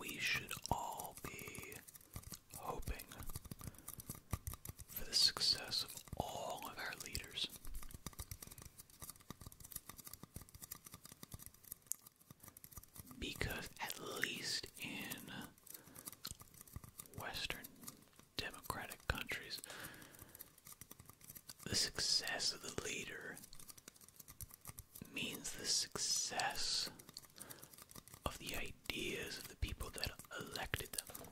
we should all be hoping for the success of all of our leaders. Because, at least in Western democratic countries, the success of the leader means the success of the ideas of the people that elected them.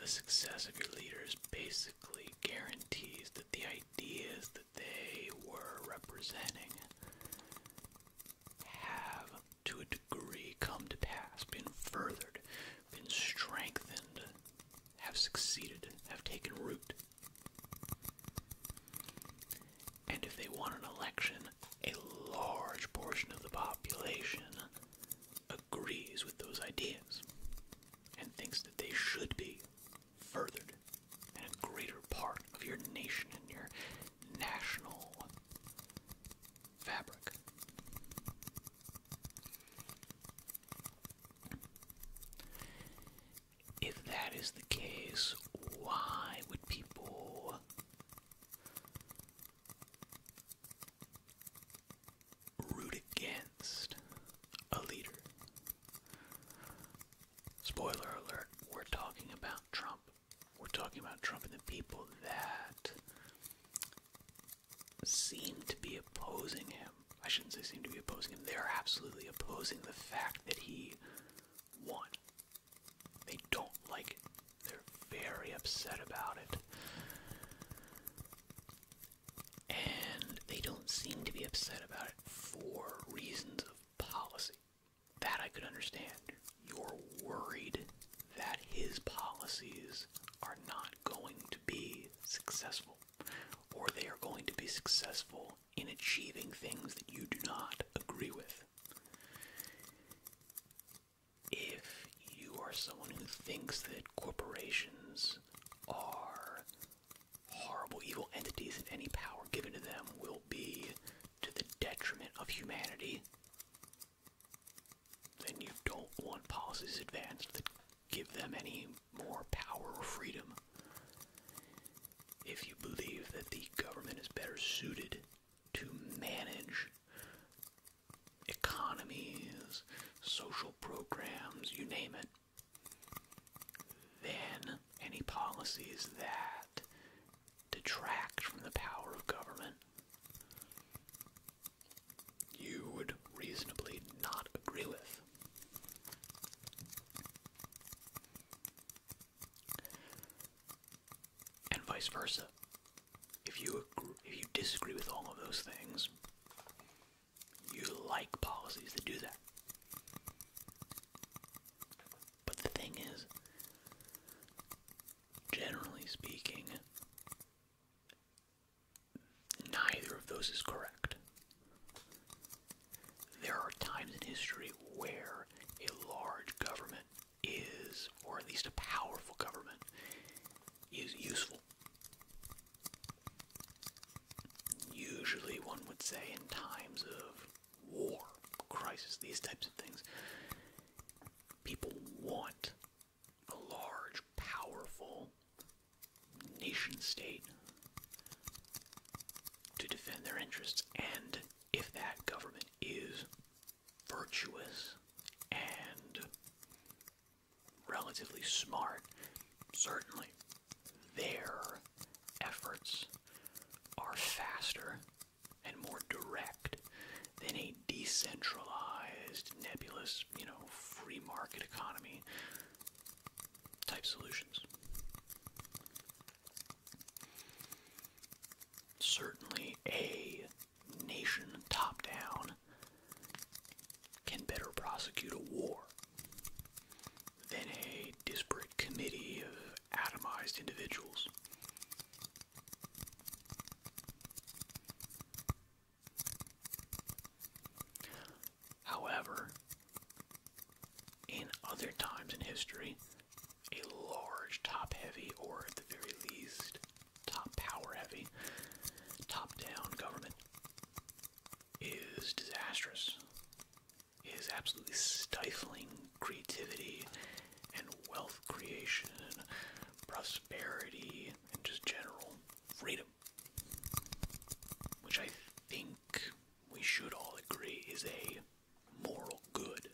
The success of your leaders basically guarantees that the ideas that they were representing have, to a degree, come to pass, been furthered, been strengthened have succeeded, have taken root. And if they want an election, a large portion of the population agrees with those ideas and thinks that they should be furthered and a greater part of your nation and your national fabric. If that is the case, why would people root against a leader? Spoiler alert, we're talking about Trump. We're talking about Trump and the people that seem to be opposing him. I shouldn't say seem to be opposing him. They are absolutely opposing the fact that he won. They don't like They're very upset about it. And they don't seem to be upset about it for reasons of policy. That I could understand. You're worried that his policies are not going to be successful or they are going to be successful in achieving things that you do not agree with. If you are someone who thinks that corporations are horrible, evil entities and any power given to them will be to the detriment of humanity, then you don't want policies advanced give them any more power or freedom. If you believe that the government is better suited to manage economies, social programs, you name it, then any policies that detract from the power of government you would reasonably not agree with. And vice versa. If you if you disagree with all of those things, you like policies that do that. But the thing is, generally speaking, Neither of those is correct. There are times in history where a large government is, or at least a powerful government, is useful. Usually, one would say in times of war, crisis, these types of things, people want a large, powerful nation state to defend their interests. And if that government is virtuous and relatively smart, certainly their efforts are faster and more direct than a decentralized, nebulous, you know, free market economy type solutions. Certainly, a nation top down can better prosecute a war than a disparate committee of atomized individuals. However, in other times in history, a large top heavy, or at the very least, top power heavy, top down government is disastrous, it is absolutely stifling creativity and wealth creation, prosperity, and just general freedom which I think we should all agree is a moral good.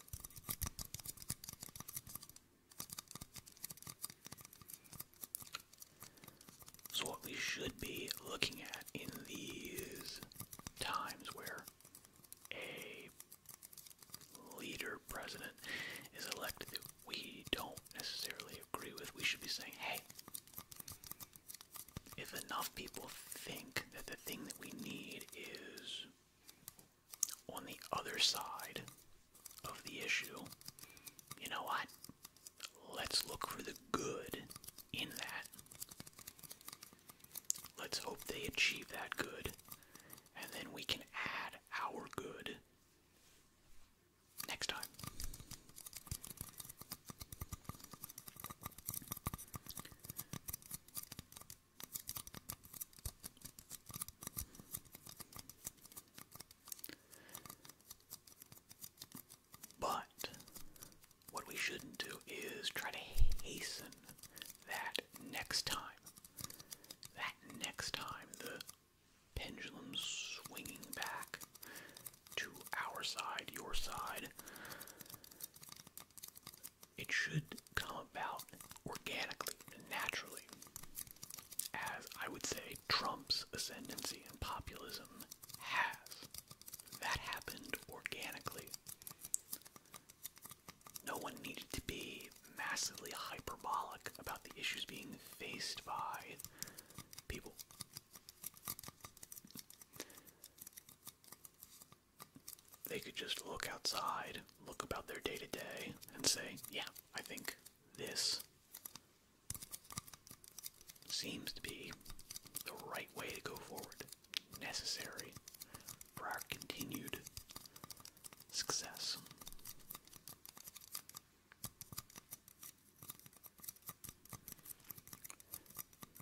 So, what we should be looking at in these times where a leader president is elected, we don't necessarily agree with, we should be saying, hey, if enough people think that the thing that we need is on the other side of the issue, you know what? Let's look for the good in that. Let's hope they achieve that good, and then we can add our good next time. But what we shouldn't do is try to hasten that next time. That next time, pendulum swinging back to our side, your side. It should come about organically and naturally, as I would say Trump's ascendancy and populism has. That happened organically. No one needed to be massively hyperbolic about the issues being faced by people. They could just look outside, look about their day to day, and say, yeah, I think this seems to be the right way to go forward, necessary for our continued success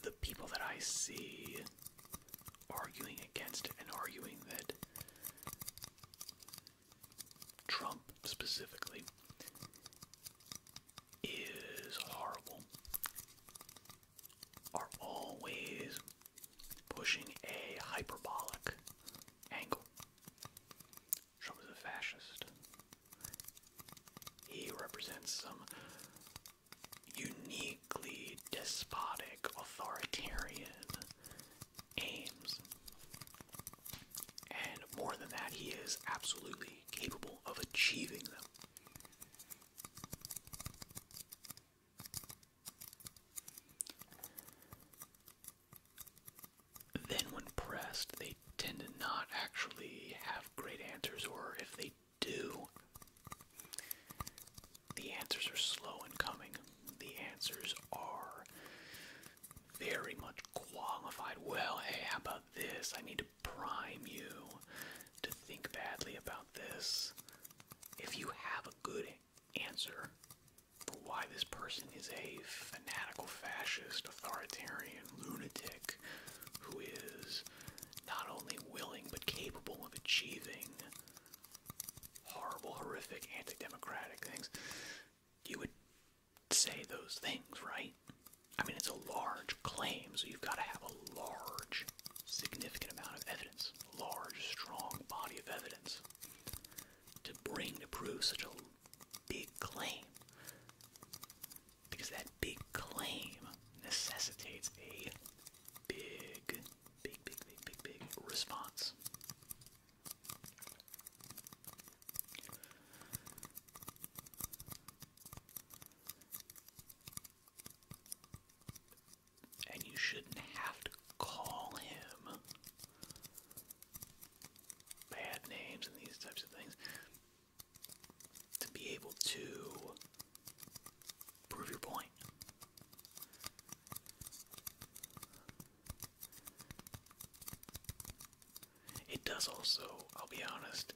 the people that I see arguing against and arguing that Trump specifically is horrible are always pushing a hyperbolic angle. Trump is a fascist. He represents some uniquely despotic, authoritarian aims. And more than that, he is absolutely capable of achieving them then when pressed, they tend to not actually have great answers, or if they do, the answers are slow in coming. The answers are very much qualified. Well, hey, how about this? I need to prime you to think badly about this. If you have a good answer, why this person is a fanatical fascist, authoritarian lunatic who is not only willing but capable of achieving horrible, horrific, anti democratic things. You would say those things, right? I mean, it's a large claim, so you've got to have a large, significant amount of evidence, large, strong body of evidence to bring to prove such a big claim. Because that big claim necessitates a big, big, big, big, big, big response. And you shouldn't have to call him bad names and these types of things to be able to prove your point. It does also, I'll be honest,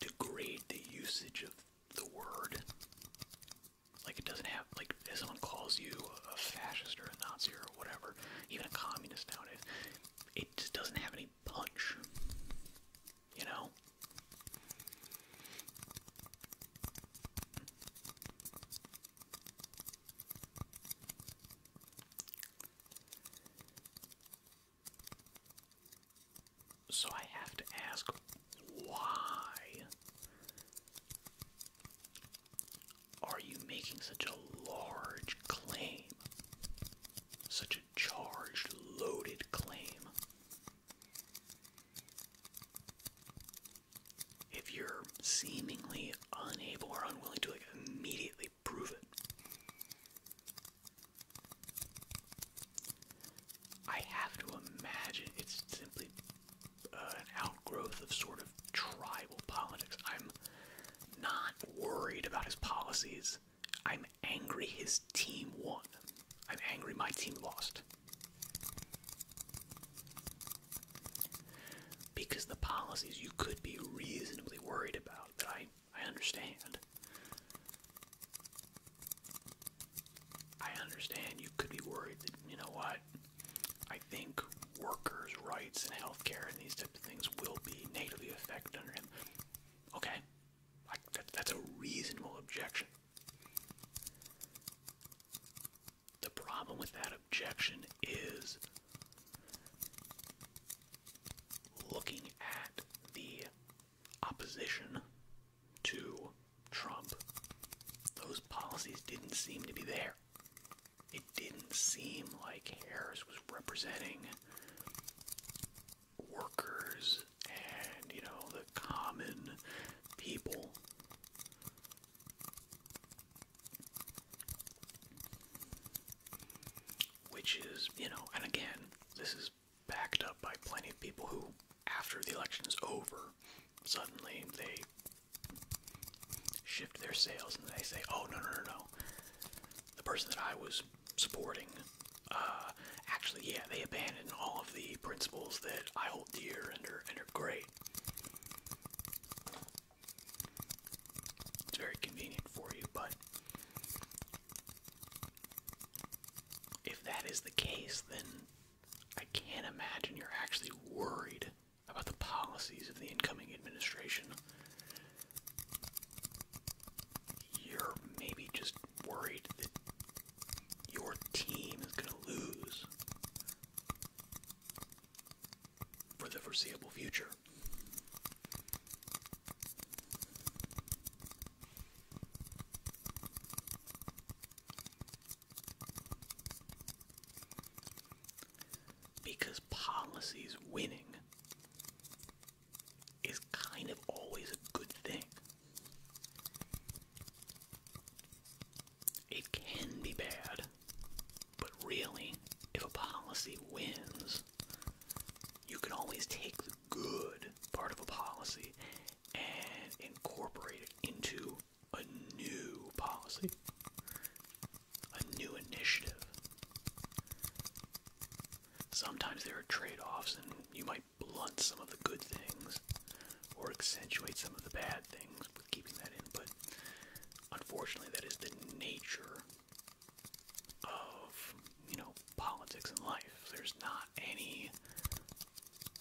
degrade the usage of the word. Like it doesn't have, like if someone calls you a fascist or a Nazi or whatever, even a communist nowadays, it just doesn't have any punch. You know? So I have to ask why are you making such a large claim? Such a charged, loaded claim? If you're seemingly unable or unwilling to like, immediately prove it, I have to imagine it's simply uh, an outgrowth of sort of tribal politics. I'm not worried about his policies. I'm angry his team won. I'm angry my team lost. Because the policies you could be reasonably worried about that I, I understand. I understand you could be worried that, you know what, I think workers' rights and healthcare and these types of things will be negatively affected under him. Okay, that's a reasonable objection. The problem with that objection is looking at the opposition to Trump, those policies didn't seem to be there it didn't seem like Harris was representing workers and, you know, the common people. Which is, you know, and again, this is backed up by plenty of people who, after the election is over, suddenly they shift their sales and they say, oh, no, no, no, no. The person that I was supporting, uh, actually, yeah, they abandon all of the principles that I hold dear and are, and are great. It's very convenient for you, but if that is the case, then I can't imagine you're actually worried about the policies of the incoming administration, you're maybe just worried that your team is going to lose for the foreseeable future. Because policies winning is kind of always a good thing. It can be bad, but really, if a policy wins, you can always take the good part of a policy and incorporate it into a new policy a new initiative. Sometimes there are trade offs, and you might blunt some of the good things or accentuate some of the bad things with keeping that in, but unfortunately, that is the nature of, you know, politics and life. There's not any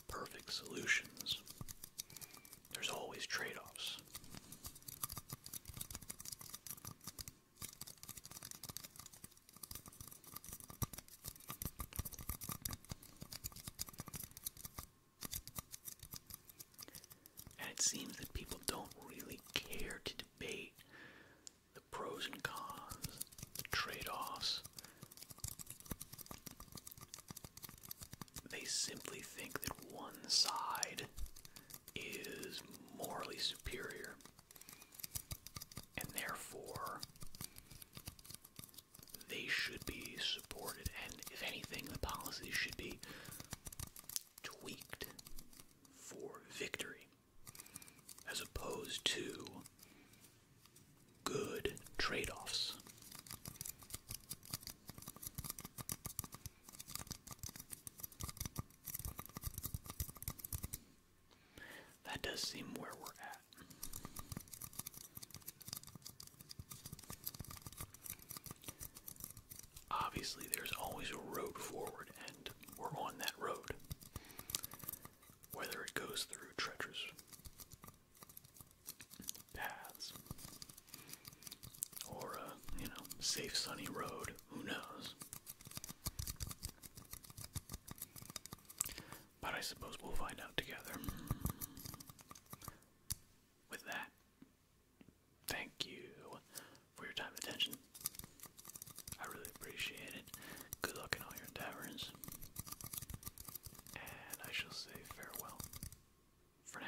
perfect solutions. There's always trade offs. And it seems that people don't really care to debate the pros and cons, the trade offs. They simply think that one side is morally superior and therefore they should be supported and if anything the policies should be tweaked for victory as opposed to good trade-offs that does seem where we're at. Obviously, there's always a road forward, and we're on that road. Whether it goes through treacherous paths or, uh, you know, safe sunny road. Who knows? But I suppose we'll find out together. With that, thank you for your time and attention. I really appreciate it. Good luck in all your endeavors. And I shall say farewell for now.